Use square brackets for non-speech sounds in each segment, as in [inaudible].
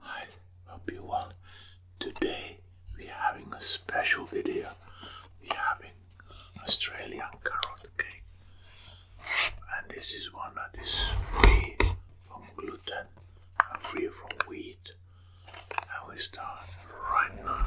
Hi, hope you well. Today we are having a special video. We are having Australian carrot cake, and this is one that is free from gluten and free from wheat. And we start right now.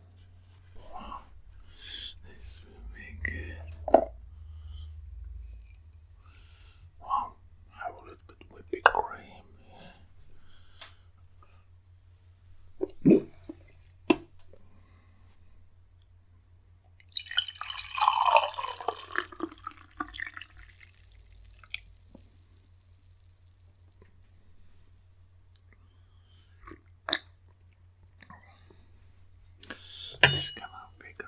This will be good. Wow, I will it with cream. This is gonna be great.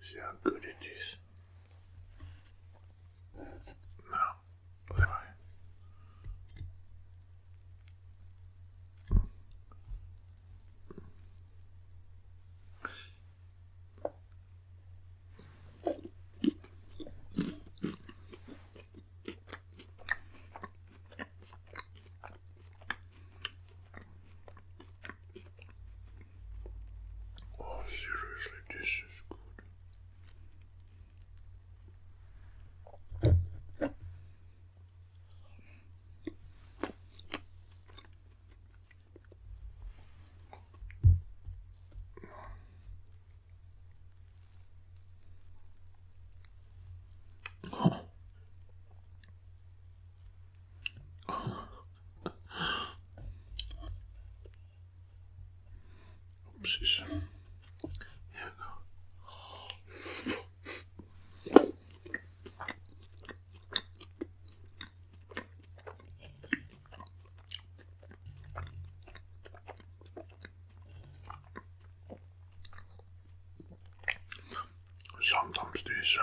see how good it is. Now, what Oh, seriously, this is good. Huh. Oopsies. Here we go. Sometimes these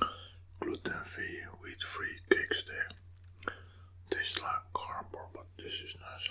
uh, gluten-free, wheat-free cakes, there. taste like cardboard, but this is nice.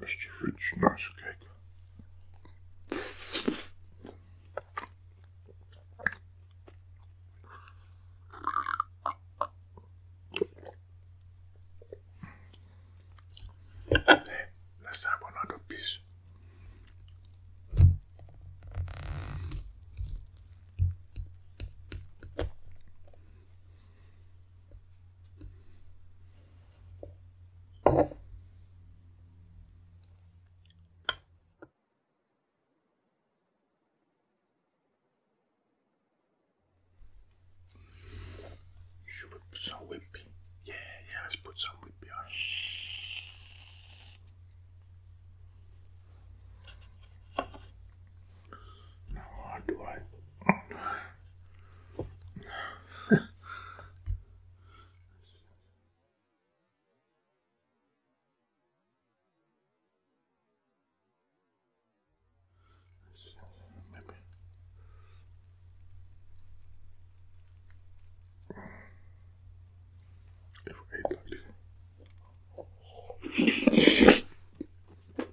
Mr. Rich Nice Cake. let's have another piece. You should put some whippy. Yeah, yeah, let's put some whippy on. Now do I? Maybe. If I ate like this. [laughs]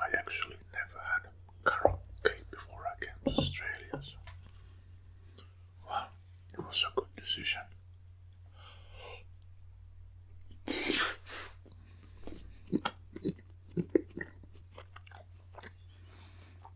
I actually never had carrot cake before I came to Australia, so it was a good decision.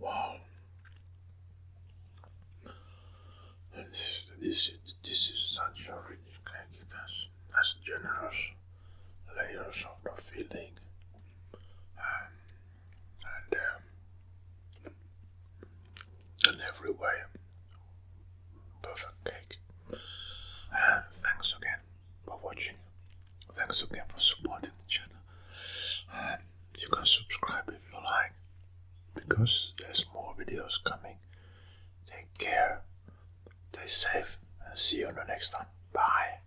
Wow. And this, this, this is such a rich cake. It has, generous layers of the filling. Um, and um, in every way, perfect cake. And thanks again for watching. Thanks again for supporting the channel. And you can subscribe if you like, because there's more videos coming. Take care, stay safe, and see you on the next one. Bye.